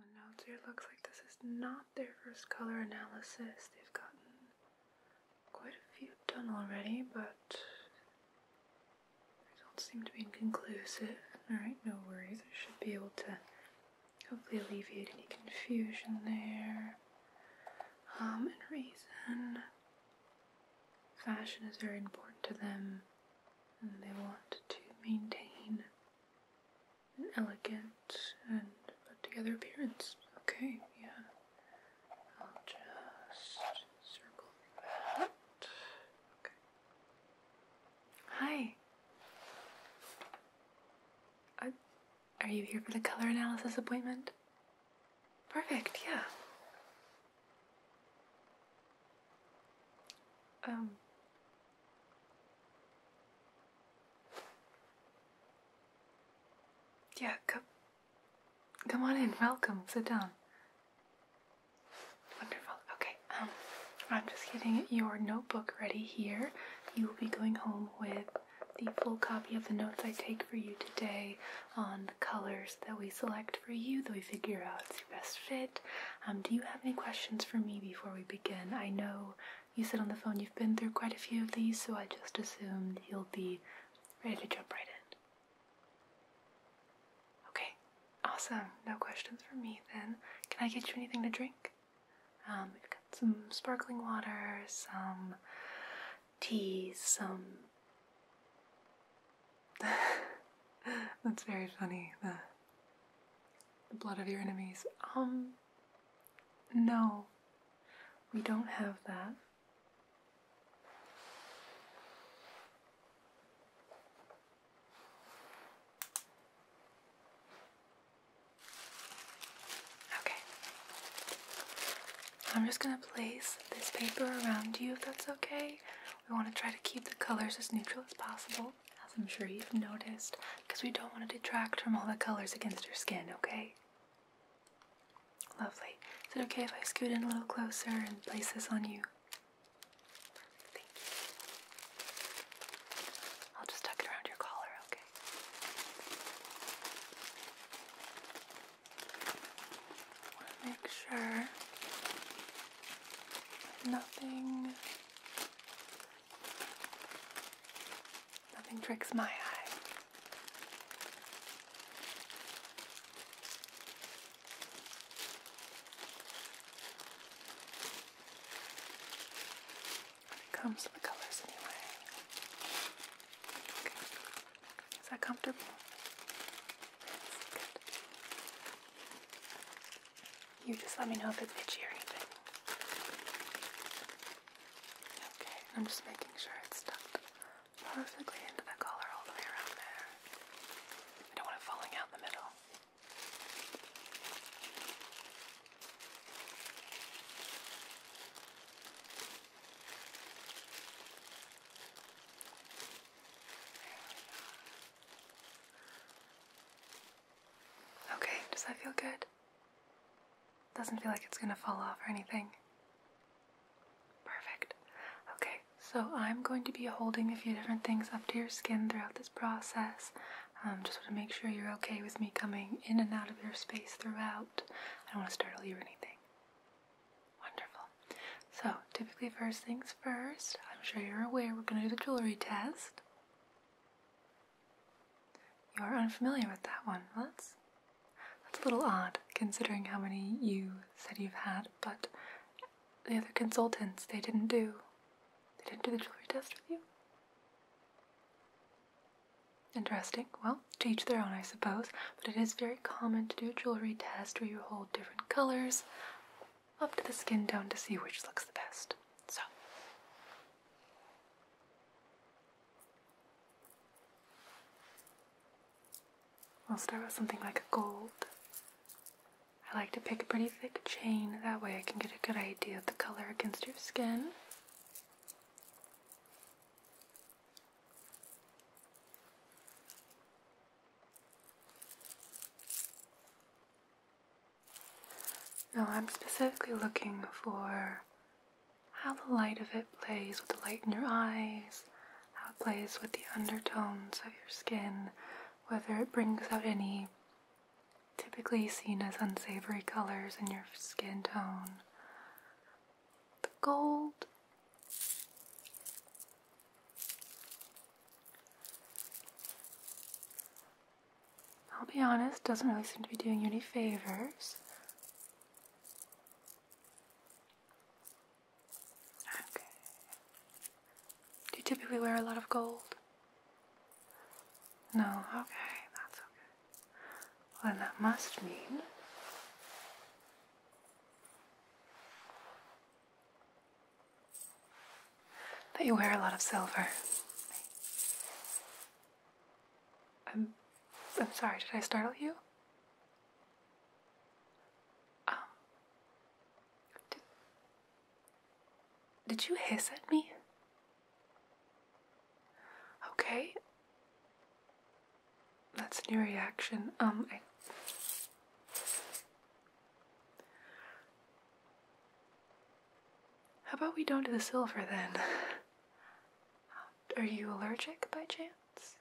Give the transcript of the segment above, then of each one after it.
The notes looks like this is not their first color analysis. They've gotten quite a few done already, but results seem to be inconclusive. Alright, no worries. I should be able to hopefully alleviate any confusion there. Um, and reason. Fashion is very important to them, and they want to maintain an elegant and put together appearance. Okay, yeah. I'll just circle that. Okay. Hi. Are, you here for the color analysis appointment? Perfect, yeah. Um, yeah, come, come on in. Welcome. Sit down. Wonderful. Okay. Um, I'm just getting your notebook ready here. You will be going home with the full copy of the notes I take for you today on the colors that we select for you, that we figure out is your best fit, um, do you have any questions for me before we begin? I know you said on the phone you've been through quite a few of these, so I just assumed you'll be ready to jump right in. Okay, awesome. No questions for me then. Can I get you anything to drink? Um, we've got some sparkling water, some tea, some. That's very funny. The blood of your enemies. Um, no, we don't have that. Okay. I'm just going to place this paper around you if that's okay. We want to try to keep the colors as neutral as possible as I'm sure you've noticed, because we don't want to detract from all the colors against your skin, okay? Lovely. Is it okay if I scoot in a little closer and place this on you? Thank you. I'll just tuck it around your collar, okay? want to make sure nothing Nothing tricks my eye. When it comes to the colors anyway. Okay. Is that comfortable? good. You just let me know if it's itchy or anything. Okay, I'm just making sure it's stuck perfectly into the collar all the way around there. I don't want it falling out in the middle. Okay, does that feel good? Doesn't feel like it's gonna fall off or anything. Perfect. Okay, so I'm going to be holding a few different things up to your skin throughout this process. Um, just want to make sure you're okay with me coming in and out of your space throughout. I don't want to startle you or anything. Wonderful. So, typically, first things first, I'm sure you're aware we're going to do the jewelry test. You're unfamiliar with that one. that's, that's a little odd considering how many you said you've had, but the other consultants, they didn't do. They didn't do the jewelry test with you? Interesting. Well, to each their own, I suppose, but it is very common to do a jewelry test where you hold different colors up to the skin tone to see which looks the best. So, i will start with something like gold. I like to pick a pretty thick chain, that way I can get a good idea of the color against your skin. Now I'm specifically looking for how the light of it plays with the light in your eyes, how it plays with the undertones of your skin, whether it brings out any typically seen as unsavory colors in your skin tone. The gold. I'll be honest, doesn't really seem to be doing you any favors. Okay. Do you typically wear a lot of gold? No, okay, that's okay. then that must mean that you wear a lot of silver. I'm, I'm sorry, did I startle you? Um, did, did you hiss at me? Okay. That's a new reaction. Um, how about we don't do the silver then? Are you allergic by chance?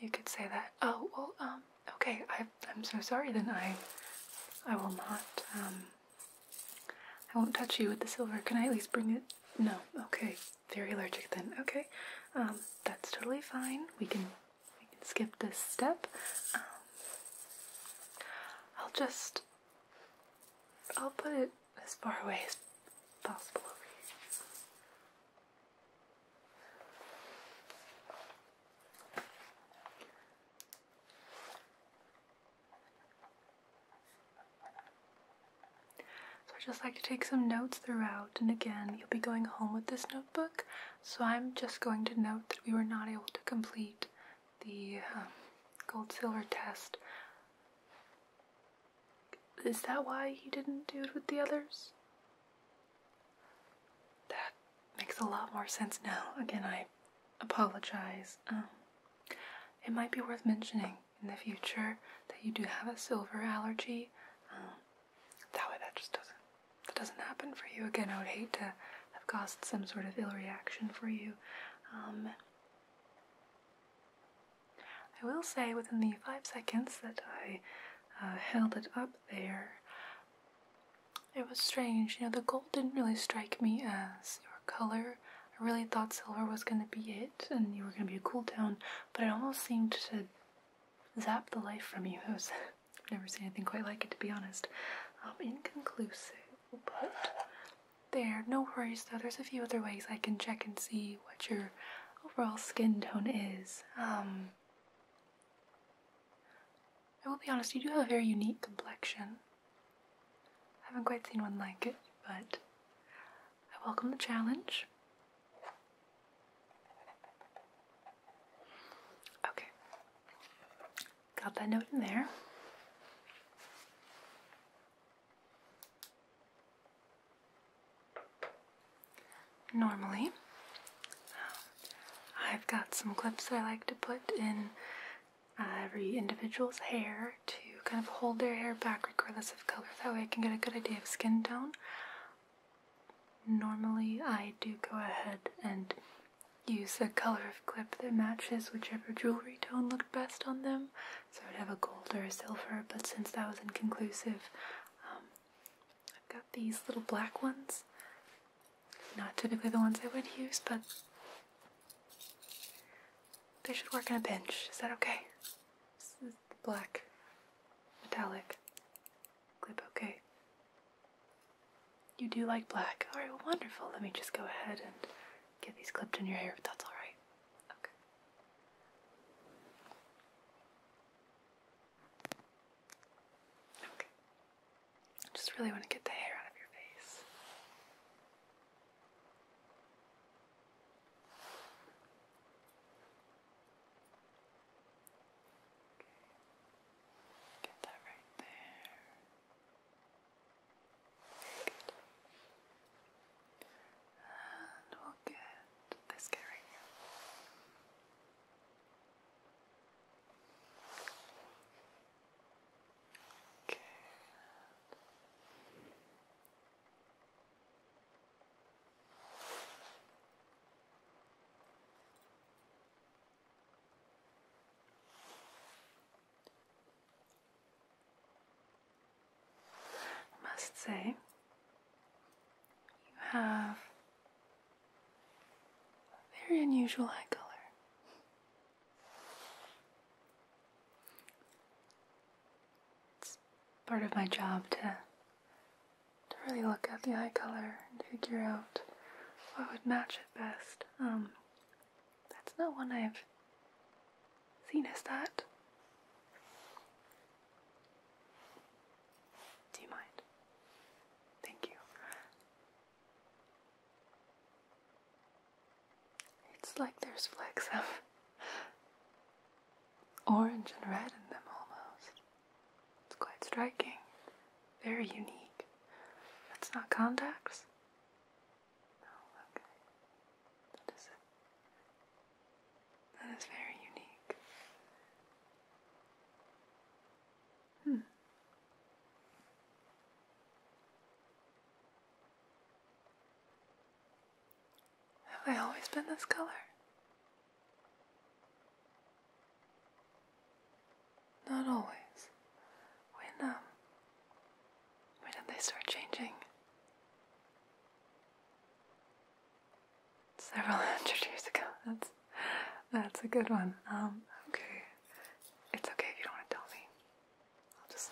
You could say that. Oh, well, um, okay, I, am so sorry then. I, I will not, um, I won't touch you with the silver. Can I at least bring it? No, okay, very allergic then. Okay, um, that's totally fine. We can we can skip this step. Um, I'll just I'll put it as far away as possible So I just like to take some notes throughout, and again, you'll be going home with this notebook, so I'm just going to note that we were not able to complete the um, gold silver test. Is that why he didn't do it with the others? That makes a lot more sense now. Again, I apologize. Um, it might be worth mentioning in the future that you do have a silver allergy. Um, that way, that just doesn't that doesn't happen for you. Again, I would hate to have caused some sort of ill reaction for you. Um, I will say within the five seconds that I uh, held it up there, it was strange. You know, the gold didn't really strike me as your color. I really thought silver was going to be it and you were going to be a cool down, but it almost seemed to zap the life from you. I've never seen anything quite like it, to be honest. Um, inconclusive, but there. No worries though. There's a few other ways I can check and see what your overall skin tone is. Um, I will be honest. You do have a very unique complexion. I haven't quite seen one like it, but I welcome the challenge. Okay. Got that note in there. Normally, um, I've got some clips I like to put in uh, every individual's hair to kind of hold their hair back regardless of color. That way I can get a good idea of skin tone. Normally, I do go ahead and use the color of clip that matches whichever jewelry tone looked best on them. So I'd have a gold or a silver, but since that was inconclusive, um, I've got these little black ones. Not typically the ones I would use, but they should work in a pinch. Is that okay? This is black metallic clip, okay? You do like black. Alright, wonderful. Let me just go ahead and get these clipped in your hair if that's alright. Okay. Okay. Just really want to get the hair out of your face. Okay. Get that right there. Good. And we'll get this guy right here. Okay. I must say, you have a very unusual eye color. It's part of my job to, to really look at the eye color and figure out what would match it best. Um, that's not one I've seen, as that? Do you mind? Thank you. It's like there's flecks of orange and red in them almost. It's quite striking. Very unique. That's not contacts? No, okay. That is it. That is very unique. Hmm. Have I always been this color? Not always. When um when did they start changing? Several hundred years ago. That's that's a good one. Um, okay. It's okay if you don't want to tell me. I'll just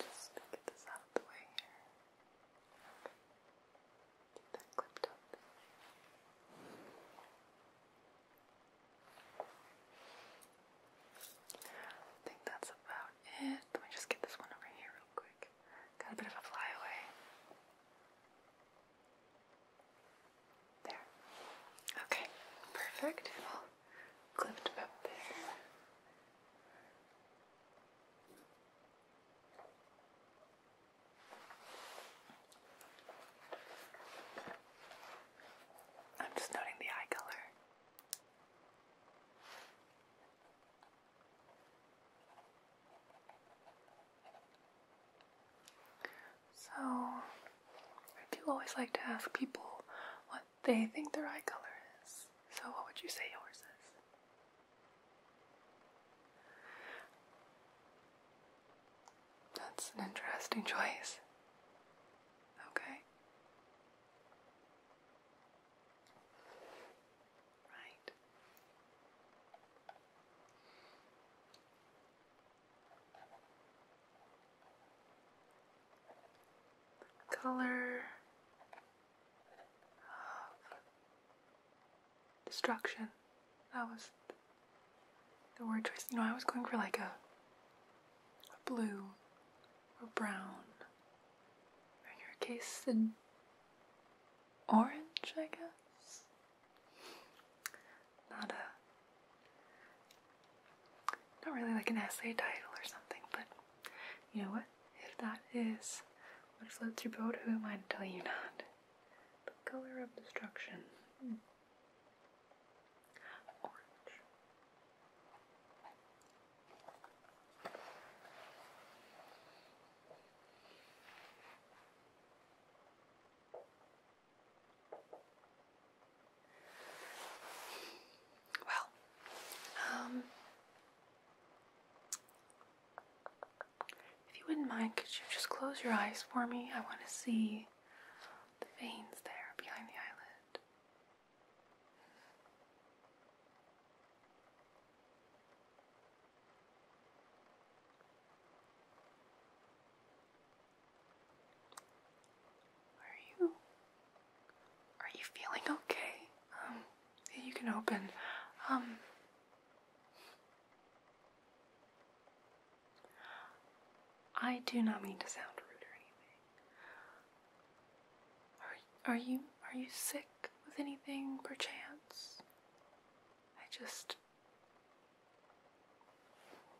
just get this out of the way here. that clipped up. I think that's about it. Let me just get this one over here real quick. Got a bit of a flyaway. There. Okay, perfect. I'll up there. I'm just noting the eye color. So, I do always like to ask people what they think their eye color is. So, what would you say yours is? That's an interesting choice. Okay. Right color destruction. That was the word choice. You know, I was going for like a, blue or brown. In your case, an orange, I guess not a not really like an essay title or something, but you know what? If that is what floats your boat, who am I to tell you not? The color of destruction. Hmm. Orange. Well, um, if you wouldn't mind, could you just close your eyes for me? I want to see the veins there behind the eyelid. Are you are you feeling okay? Um you can open. Um I do not mean to sound rude or anything. Are are you are you sick with anything perchance? I just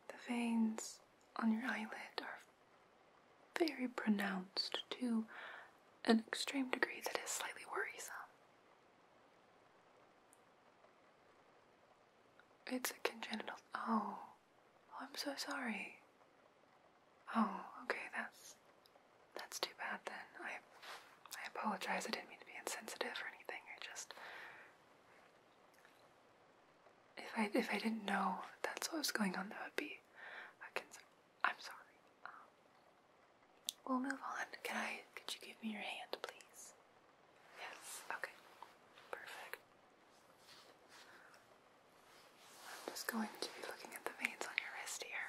the veins on your eyelid are very pronounced to an extreme degree that is slightly worrisome. It's a congenital. Oh, oh, I'm so sorry. Oh, okay, that's that's too bad then. I I apologize. I didn't mean to be insensitive or anything. I just if I if I didn't know that's what was going on, that would be a concern. I'm sorry. Um, we'll move on. Can I? Could you give me your hand, please? Yes. Okay. Perfect. I'm just going to be looking at the veins on your wrist here.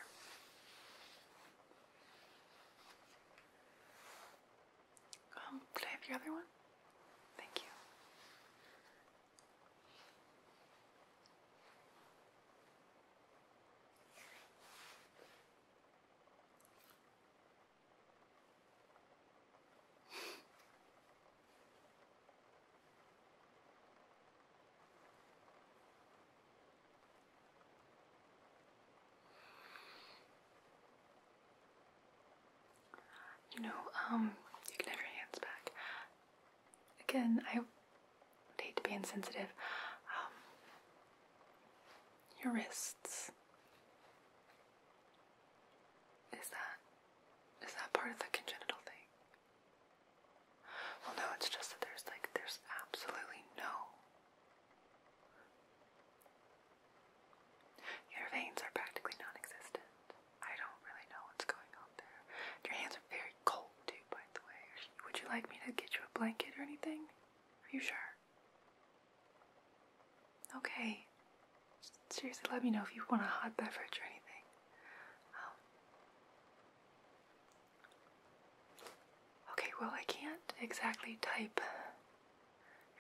Um, could I have your other one? Thank you. You know, um, you can have your hands back. Again, I would hate to be insensitive. Um, your wrists. Is that is that part of the congenital thing? Well, no, it's just that there's like there's absolutely no your veins are practically non existent. I don't really know what's going on there. Your hands are very cold, too, by the way. Would you like me to get you a blanket or anything? Are you sure? Okay. Seriously, let me know if you want a hot beverage or anything. Um, okay, well, I can't exactly type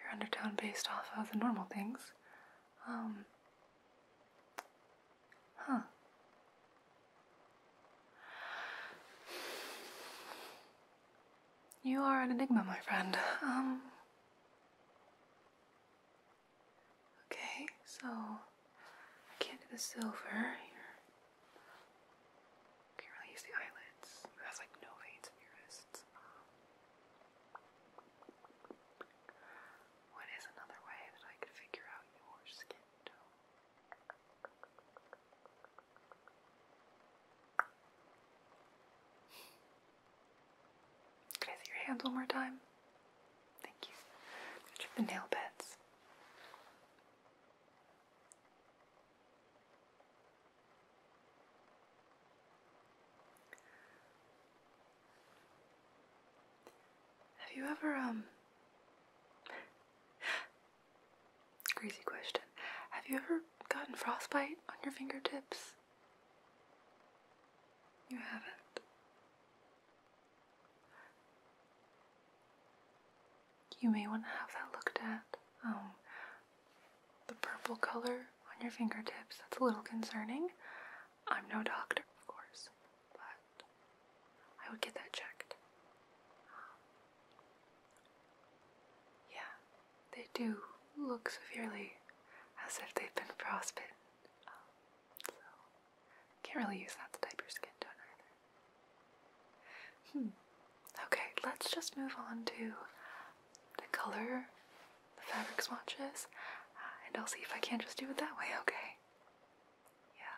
your undertone based off of the normal things. Um, huh. You are an enigma, my friend. Um, okay, so I can't do the silver. Can't really use the eyelids. That's like no veins in your wrists. What is another way that I could figure out your skin tone? Can I see your hands one more time? Thank you. the nail beds. Have you ever, um, crazy question. Have you ever gotten frostbite on your fingertips? You haven't. You may want to have that looked at. Um, the purple color on your fingertips. That's a little concerning. I'm no doctor, of course, but I would get that checked. Um, yeah, they do look severely as if they've been frostbitten. Um, can't really use that to type your skin tone either. Hmm. Okay, let's just move on to the color the fabric swatches, uh, and I'll see if I can't just do it that way, okay? Yeah.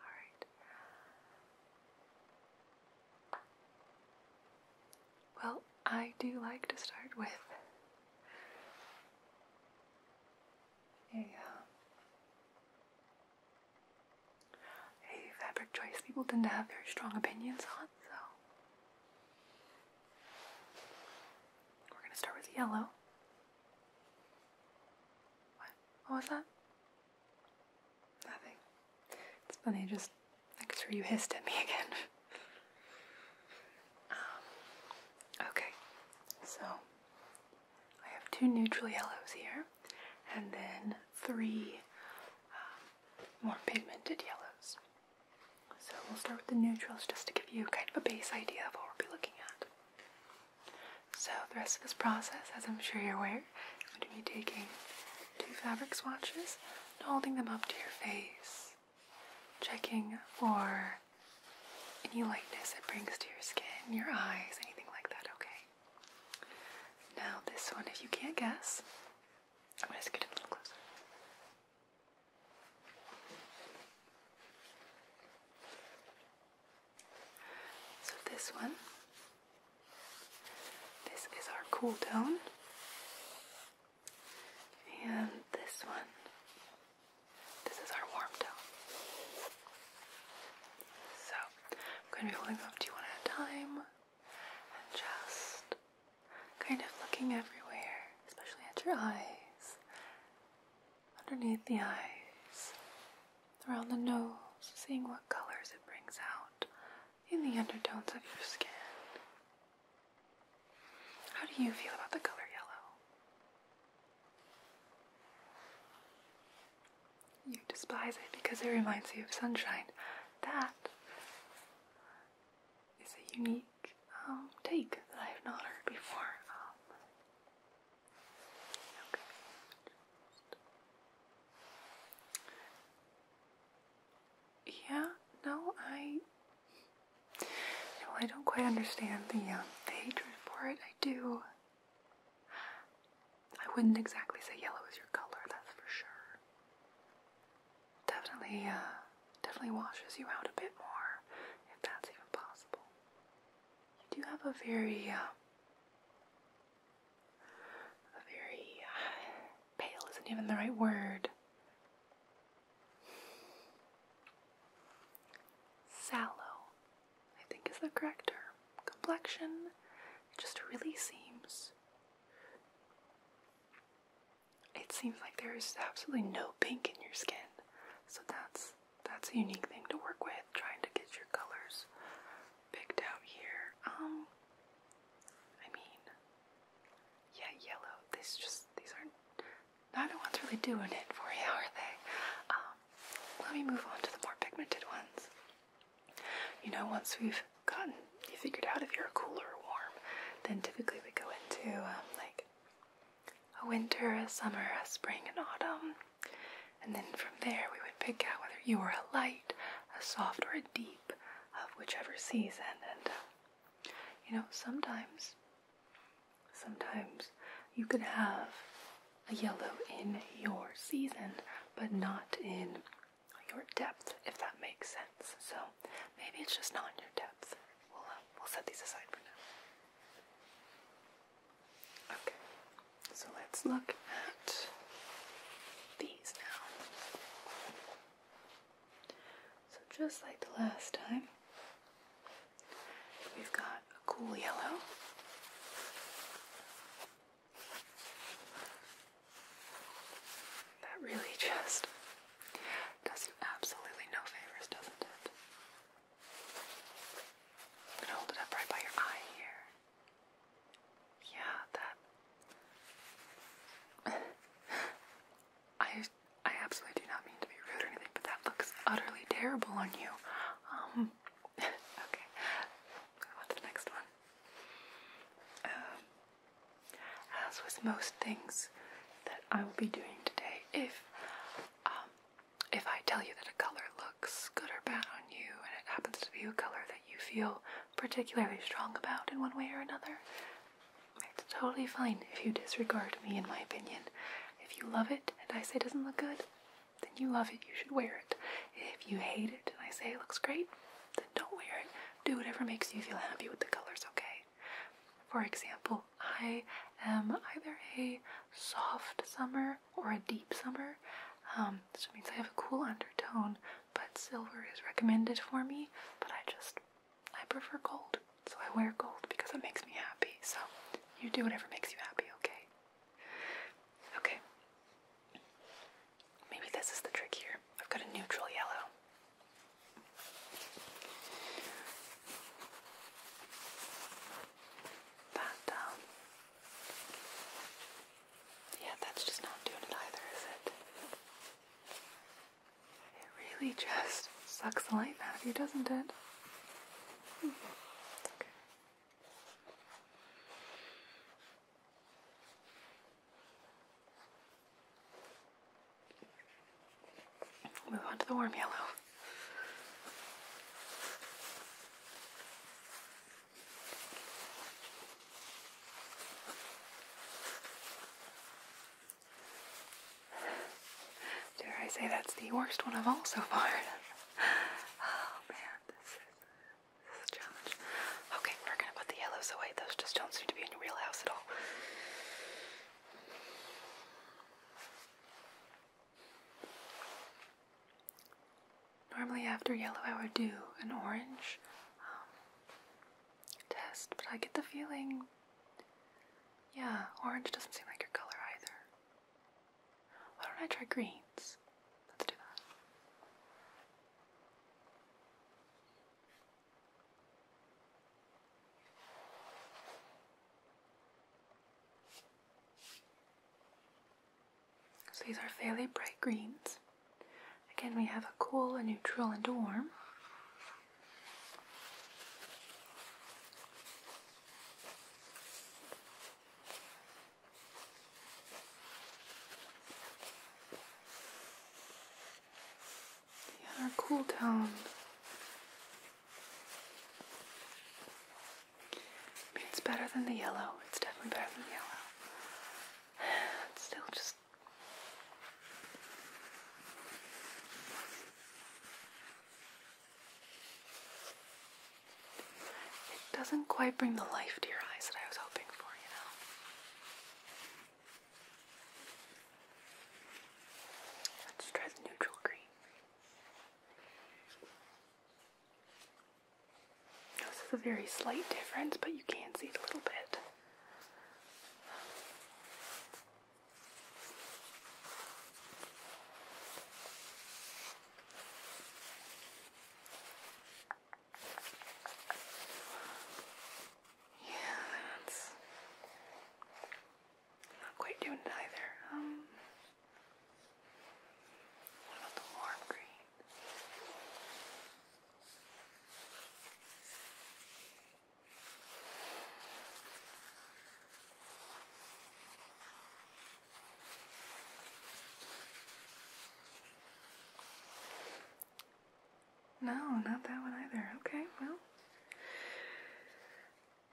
Alright. Well, I do like to start with a, um, a fabric choice people tend to have very strong opinions on, so we're going to start with yellow. What? What was that? Nothing. It's funny, just think it's sure you hissed at me again. Um, okay, so I have two neutral yellows here, and then three um, more pigmented yellows. So we'll start with the neutrals just to give you kind of a base idea of what we'll be looking at. So the rest of this process, as I'm sure you're aware, is going to be taking two fabric swatches holding them up to your face, checking for any lightness it brings to your skin, your eyes, anything like that, okay? Now this one, if you can't guess, I'm going to get a little closer. So this one, this is our cool tone, and this one, this is our warm tone. So I'm going to be holding them up to you one at a time and just kind of looking everywhere, especially at your eyes, underneath the eyes, around the nose, seeing what colors it brings out in the undertones of your skin. How do you feel about the color yellow? You despise it because it reminds you of sunshine. That is a unique um, take that I have not heard before. Um, yeah, no, I. No, I don't quite understand the, um, the hatred for it. I do. I wouldn't exactly say yellow is your color, that's for sure definitely, uh, definitely washes you out a bit more, if that's even possible. You do have a very, uh, a very uh, pale isn't even the right word. Sallow, I think is the correct term. Complexion, it just really seems it seems like there is absolutely no pink in your skin. So that's that's a unique thing to work with, trying to get your colors picked out here. Um I mean yeah, yellow. These just these aren't the one's really doing it for you, are they? Um, let me move on to the more pigmented ones. You know, once we've gotten you figured out if you're cool or warm, then typically we go into um, like a winter, a summer, a spring, and autumn. And then from there, we would pick out whether you were a light, a soft, or a deep of whichever season. And um, you know, sometimes, sometimes you could have a yellow in your season, but not in your depth, if that makes sense. So maybe it's just not in your depth. We'll uh, we'll set these aside for now. Okay. So let's look at these now. So just like the last time, we've got a cool yellow. That really just does absolutely no favors, doesn't it? I'm gonna hold it up right by your eye here. Yeah, that. I I absolutely do not mean to be rude or anything, but that looks utterly terrible on you. Um. okay. Move on to the next one. Um, as with most things that I will be doing today, if um, if I tell you that a color looks good or bad on you, and it happens to be a color that you feel particularly strong about in one way or another, it's totally fine if you disregard me, in my opinion. If you love it and I say it doesn't look good, then you love it, you should wear it. If you hate it and I say it looks great, then don't wear it. Do whatever makes you feel happy with the colors, okay? For example, I am either a soft summer or a deep summer, which um, means I have a cool undertone, but silver is recommended for me, but I just, I prefer gold. So I wear gold because it makes me happy. So you do whatever makes you happy, okay? Okay. Maybe this is the trick here. I've got a neutral yellow. But, um, yeah, that's just not doing it either, is it? It really just sucks the light, out of you, doesn't it? Hmm. Move on to the warm yellow. Dare I say that's the worst one of all so far? oh man, this is, this challenge. Okay, we're gonna put the yellows away. Those just don't seem to be in your real house at all. Normally, after yellow, I would do an orange um, test, but I get the feeling, yeah, orange doesn't seem like your color either. Why don't I try greens? Let's do that. So these are fairly bright greens. Again, we have a cool, a neutral, and a warm. Yeah, our cool down. it's better than the yellow. It's definitely better than the yellow. It's still just. It doesn't quite bring the life to your eyes that I was hoping for, you know? Let's try the neutral green. This is a very slight difference, but you can see it a little bit. Yeah, that's I'm not quite doing it either. Um what about the warm green? No, not that one either. Okay, well.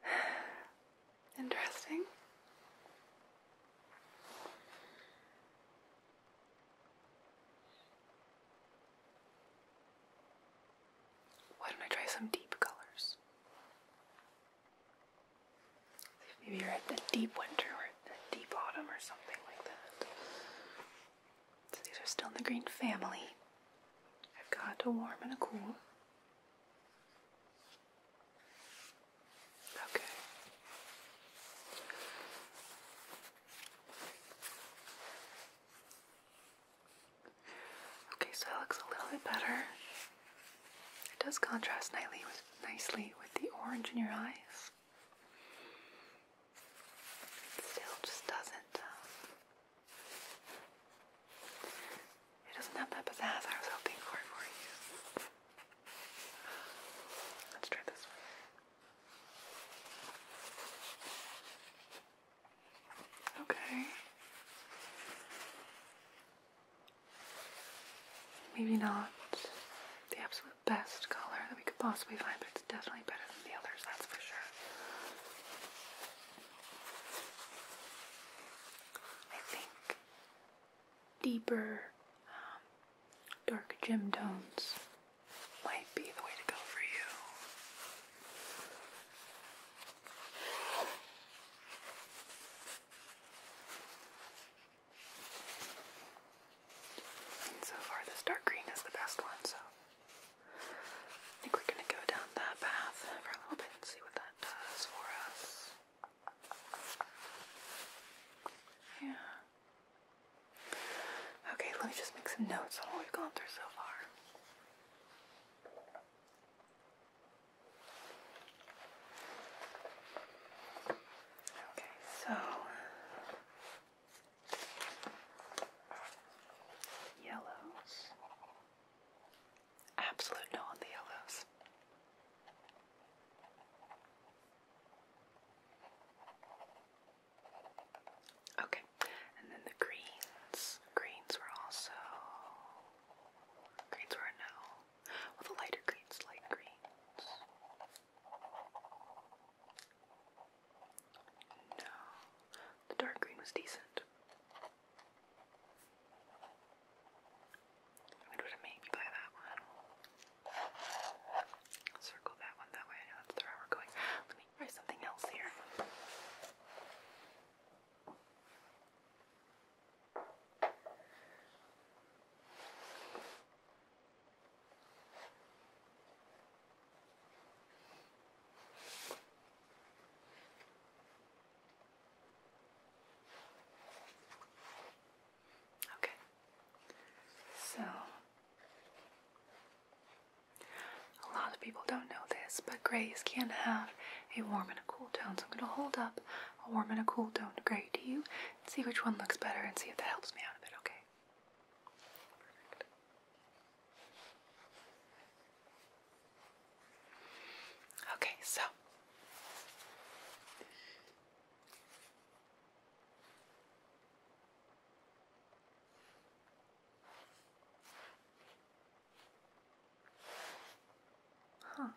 Interesting. Why don't I try some deep colors? Maybe you're at the deep winter or the deep autumn or something like that. So these are still in the green family. I've got a warm and a cool. Okay. Okay, so that looks a little bit better. It does contrast nicely with, the orange in your eyes. It still just doesn't um, it doesn't have that pizzazz I was hoping for for you. Let's try this one. Okay. Maybe not the absolute best color that we could possibly find, but definitely better than the others, that's for sure. I think deeper, um, dark gem tones might be the way to go for you. so far, this dark green is the best one, so I think we're going to go down that path for a little bit and see what that does for us. Yeah. Okay, let me just make some notes on what we've gone through so far. Okay, so Yellows. Absolute no on the yellows. Okay, and then the greens. Greens were also. Greens were no. Well, the lighter greens, light greens. No, the dark green was decent. What would it make you buy that one? circle that one that way. I know that's the route we're going. Let me try something else here. Okay, so a lot of people don't know this, but grays can have a warm and a cool tone. So I'm going to hold up a warm and a cool tone gray to you and see which one looks better and see if that helps me out a bit, okay? Perfect. Okay, so Huh.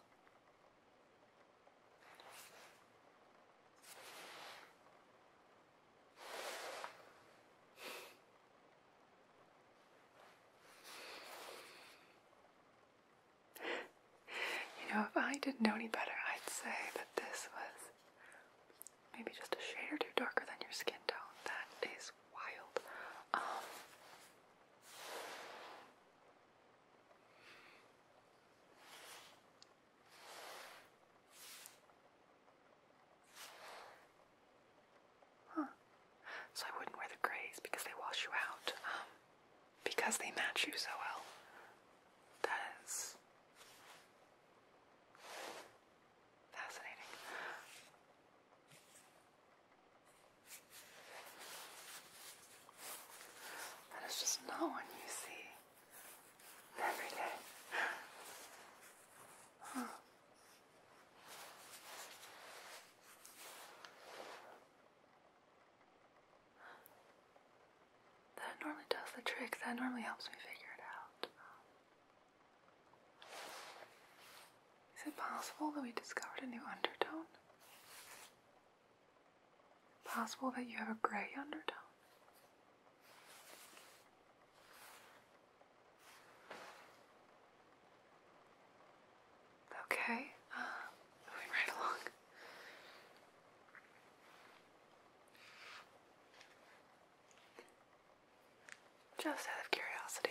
You know, if I didn't know any better, I'd say that this was maybe just a shade or two darker than your skin tone. That is wild. Um, Huh. So I wouldn't wear the grays because they wash you out. Um, because they match you so well. That is fascinating. That is just not one you see every day. Huh. That normally does the trick. That normally helps me figure it out. Is it possible that we discovered a new undertone? Possible that you have a gray undertone? Okay, uh, moving right along. Just out of curiosity.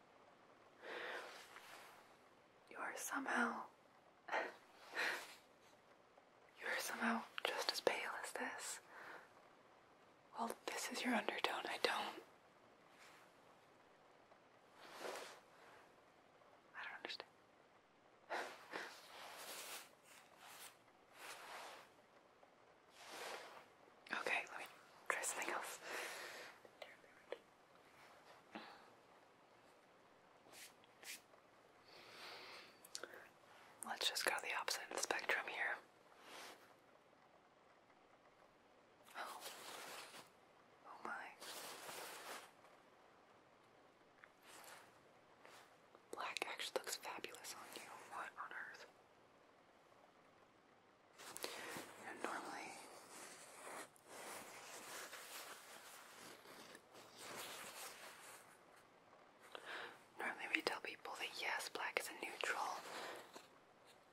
You are somehow. you are somehow just as pale as this. Well, this is your undertone. I don't. I don't understand. Okay, let me try something else. Let's just go to the opposite of the spectrum here. Oh. Oh my. Black actually looks fabulous on you. What on earth? normally Normally we tell people that yes, black is a neutral,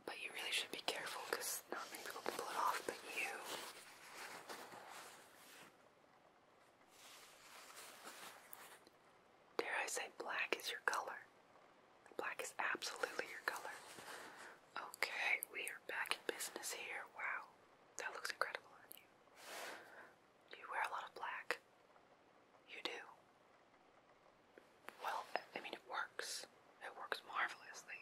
but you really should be careful because not many people pull it off but you. Dare I say black is your color? Black is absolutely your color. Okay, we are back in business here. Wow, that looks incredible on you. You wear a lot of black. You do. Well, I mean, it works. It works marvelously.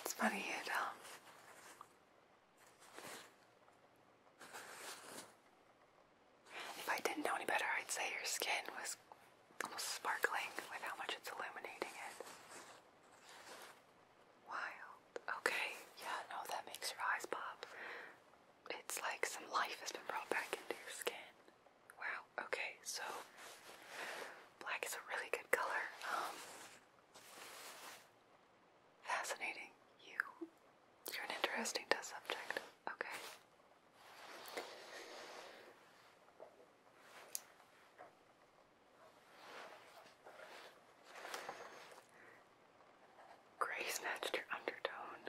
It's funny, it, um, if I didn't know any better, I'd say your skin was almost sparkling with how much it's illuminating it. Wild. Okay, yeah, no, that makes your eyes pop. It's like some life has been brought back into your skin. Wow, okay, so black is a really good color. Um, Fascinating. You, you're an interesting test subject. Okay. Grace matched your undertone.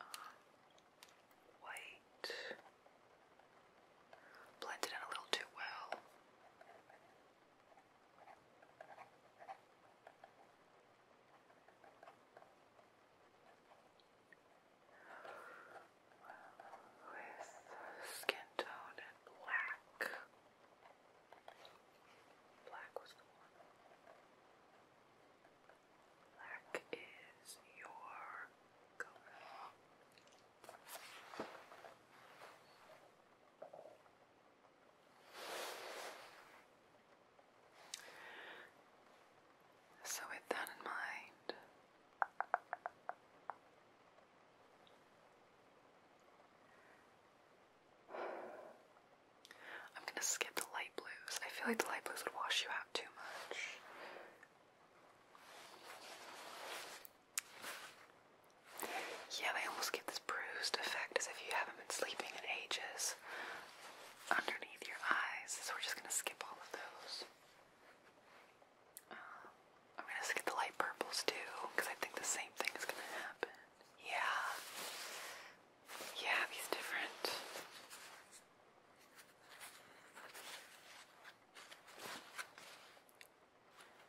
Uh, white blended in a little too well. With skin tone and black. Black was the one. Black is your color. So, with that in mind, I'm gonna skip the light blues. I feel like the light blues would wash you out too much. Yeah, they almost get this bruised effect as if you haven't been sleeping in ages underneath your eyes. So we're just going to skip all of those. Um, I'm going to skip the light purples too because I think the same thing is going to happen. Yeah. Yeah, these different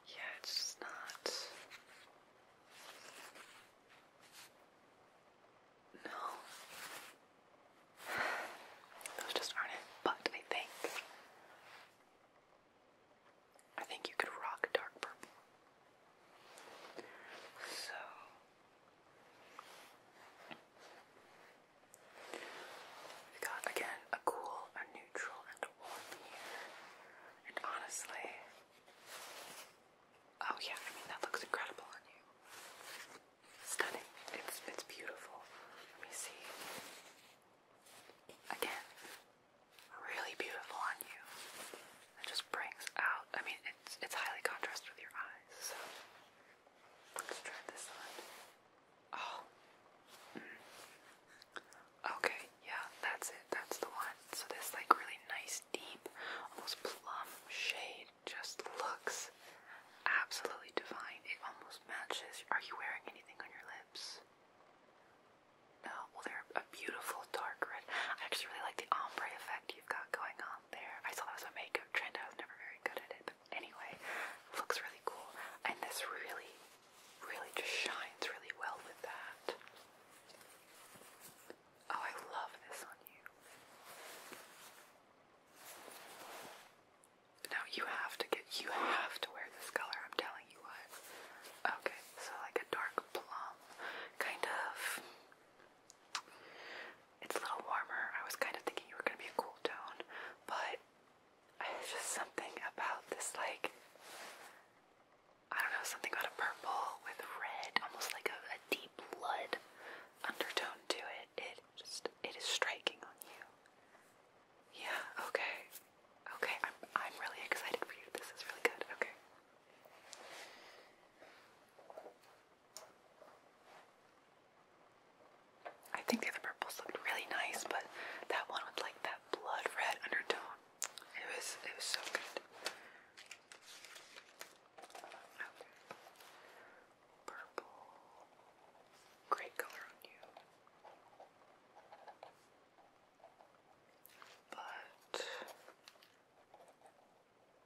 yeah, it's just not. No. Those just aren't it. But I think. I think you could rock dark purple. So we got again a cool, a neutral, and warm here. And honestly, oh yeah, I mean that looks incredible on you. Stunning. It's it's beautiful. Let me see. Again, really beautiful on you. It just brings out. I mean, it's it's highly contrast with your eyes. So let's try this one. Oh. Mm. Okay, yeah, that's it. That's the one. So this like really nice, deep, almost plum shade just looks absolutely divine. It almost matches. Are you wearing anything on your lips? No. Well, they're a beautiful dark red. I actually really like the ombre effect you've got going on there. I saw that was a makeup trend. I was never very good at it, Anyway, looks really cool, and this really, really just shines really well with that. Oh, I love this on you. Now you have to get, you have to wear this color, I'm telling you what. Okay, so like a dark plum, kind of. It's a little warmer. I was kind of thinking you were going to be a cool tone, but it's just something about this, like, I don't know, something about a purple with red, almost like a, deep blood undertone to it. It just, it is striking on you. Yeah, okay. Okay, I'm, I'm really excited for you. This is really good. Okay. I think the other purples looked really nice, but that one with like that blood red undertone. It was it was so good. Purple. Great color on you. But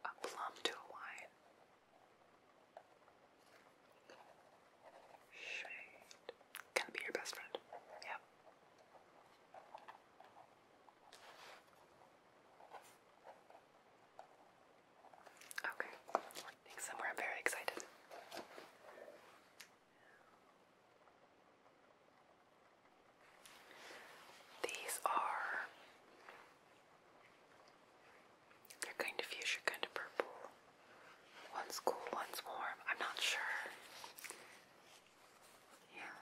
a plum to a wine. Shade. Can be your best friend. Yeah. Okay. I somewhere I'm very excited. These are they're kind of fuchsia, kind of purple. One's cool, one's warm. I'm not sure. Yeah.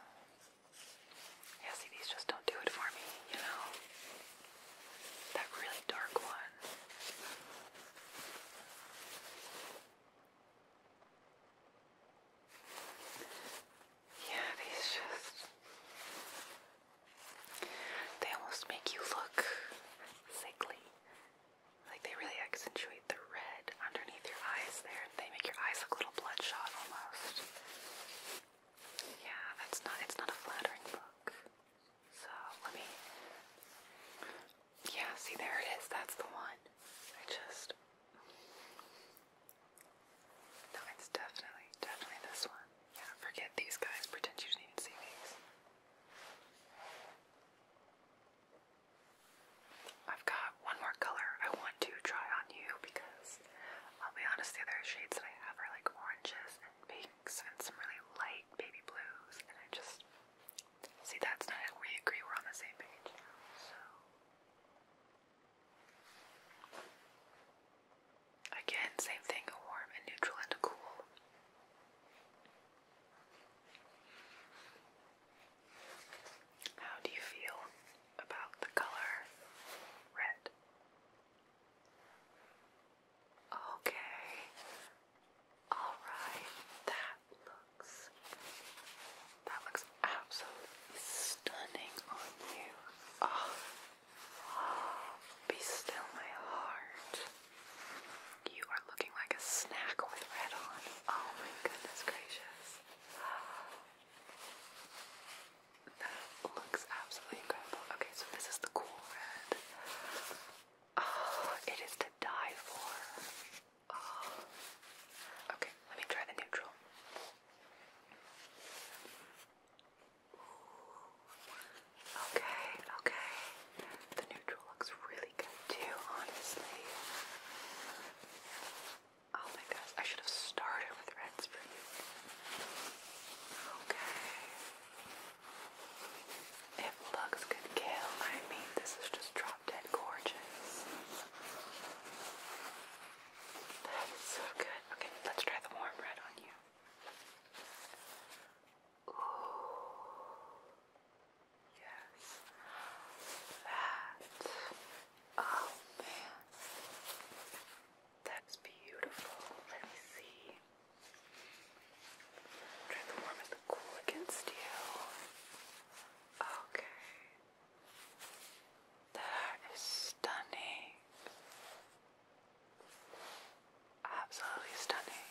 Yeah, these just don't do it for me, you know? That really dark one. Yeah, these just. They almost make you look sickly. Like they really accentuate the red underneath your eyes there. They make your eyes look a little bloodshot almost. Yeah, that's not it's not a flattering look. So let me Yeah, see there it is, that's the one. I just No, it's definitely, definitely this one. Yeah, forget these guys, pretend you didn't even see these. I've got one more color I want to try on you because I'll be honest, the other shades that I have are like oranges and pinks and some really light baby blues, and I just see that's not it. We agree, we're on the same page. So, again, same thing warm and neutral and cool. How do you feel about the color red? Okay, alright, that looks that looks absolutely stunning on you. Oh, be still my heart. You are looking like a snack with red on. Oh my goodness gracious. That looks absolutely incredible. Okay, so this is the cool red. Oh, it is to die for. Oh. Okay, let me try the neutral. Okay, okay. The neutral looks really good too, honestly. Oh my gosh, I should have started with reds for you. Okay. It looks good, Gail. I mean, this is just drop dead gorgeous. That is so good. Okay, let's try the warm red on you. Yes. That. Oh man. That's beautiful. Let me see. Try the cool against you. Okay. That is stunning. Absolutely stunning.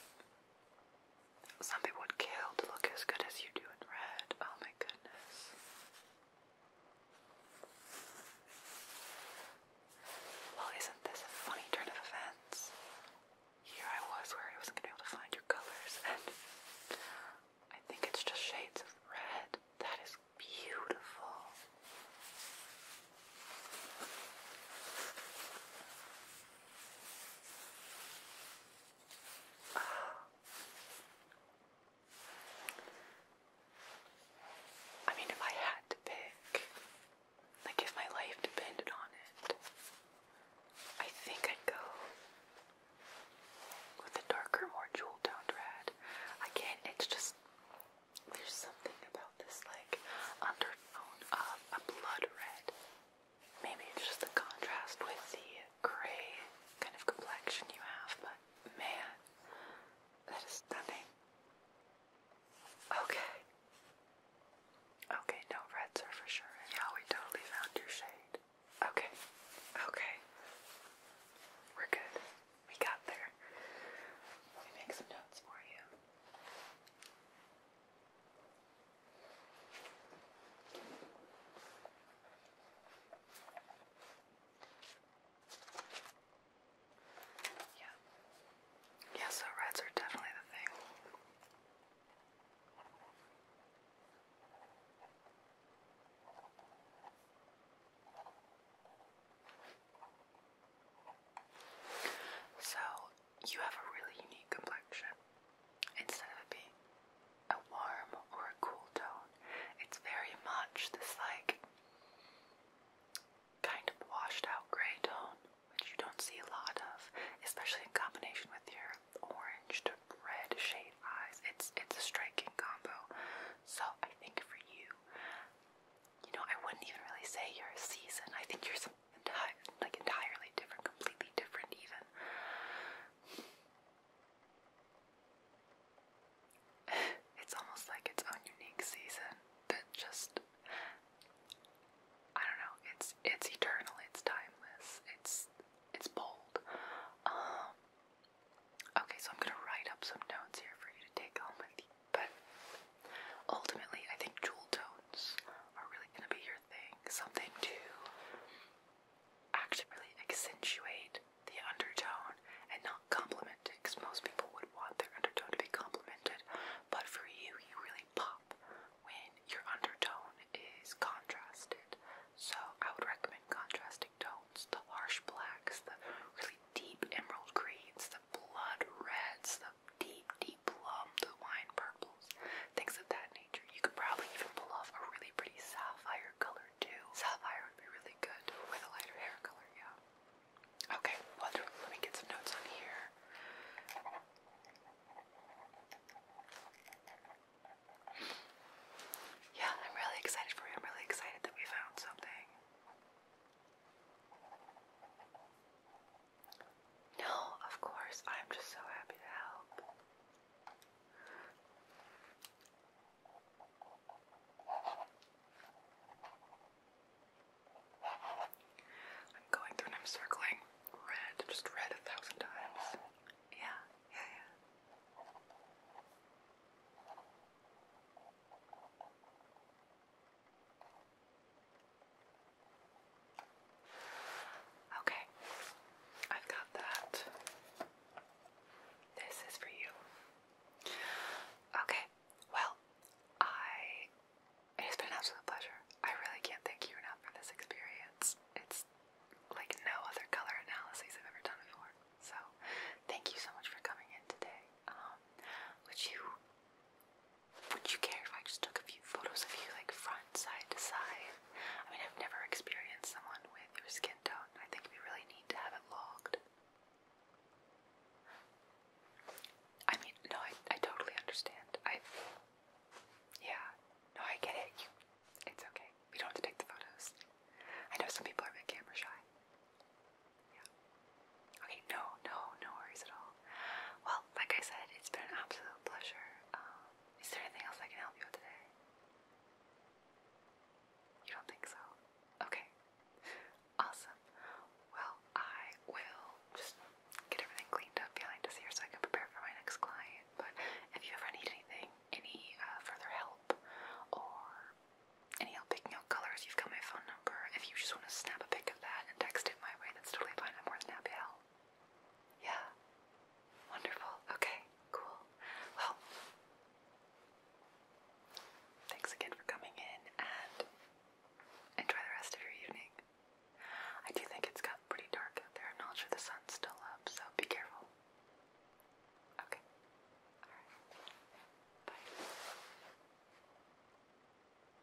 Some people would kill to look as good as you do in red. Oh my goodness. Well, isn't this a funny turn of events? Here I was where I wasn't going to be able to find your colors, and I think it's just shades of red. That is beautiful. I mean, if I had to pick, like if my life depended on it, I think I'd go with a darker, more jewel toned red. Again, it's just there's something about this like undertone of a blood red Maybe it's just the contrast with the gray kind of complexion you have, but man, that is stunning. Okay. Okay, no reds are for sure. Yeah, we totally found your shade. Okay. Okay. We're good. We got there. Let me make some notes for you. Yeah. Yeah, so reds are definitely the thing. So you have a really unique complexion. Instead of it being a warm or a cool tone, it's very much this like kind of washed out gray tone, which you don't see a lot of, especially in combination with your orange to red shade eyes. It's it's a striking combo. So I think for you, you know, I wouldn't even really say you're a season. I think you're some entire, like entirely different, completely different even. it's almost like its own unique season that just I don't know, it's it's eternal, it's timeless, it's it's bold. Um, okay, so I'm gonna write up some notes here for you to take home with you. But ultimately I think jewel tones are really going to be your thing. Something to actually accentuate the undertone and not compliment it, because most people would want their undertone to be complimented. But for you, you really pop when your undertone is contrasted. So I would recommend contrasting tones the harsh blacks, the really deep emerald greens, the blood reds, the deep, deep plum, blue wine purples, things of that nature. You could probably even pull off a really pretty sapphire color too. Sapphire would be really good with a lighter hair color, yeah. Okay, wonderful. Let me get some notes on here. Yeah, I'm really excited for you. I'm really excited that we found something. No, of course, I'm just so happy to help. I'm going through and I'm circling red, just red a thousand times. Yeah, yeah, yeah. Okay, I've got that. This is for you. Okay, well, I. It's been an absolute pleasure. I really can't thank you enough for this experience. It's like no other color analyses I've ever done before. So, thank you so much for coming in today. Um, would you would you care if I just took a few photos of you, like front, side to side? I mean, I've never experienced someone with your skin tone. I think we really need to have it logged. I mean, no, I, I totally understand. I, yeah, no, I get it. You, it's okay. We don't have to take the photos. I know some people are a bit camera shy. Yeah. Okay, no, no, no worries at all. Well, like I said, it's been an absolute pleasure. Um, is there anything else I can help you with today? You don't think so? Okay. Awesome. Well, I will just get everything cleaned up behind us here so I can prepare for my next client. But if you ever need anything, any uh, further help, or any help picking out colors, you've got my phone number. If you just want to snap a pic of that and text it my way, that's totally fine. I'm more than happy to help. Yeah. Wonderful. Okay, cool. Well, thanks again for coming in and enjoy the rest of your evening. I do think it's gotten pretty dark out there. I'm not sure the sun's still up, so be careful. Okay. Alright. Bye.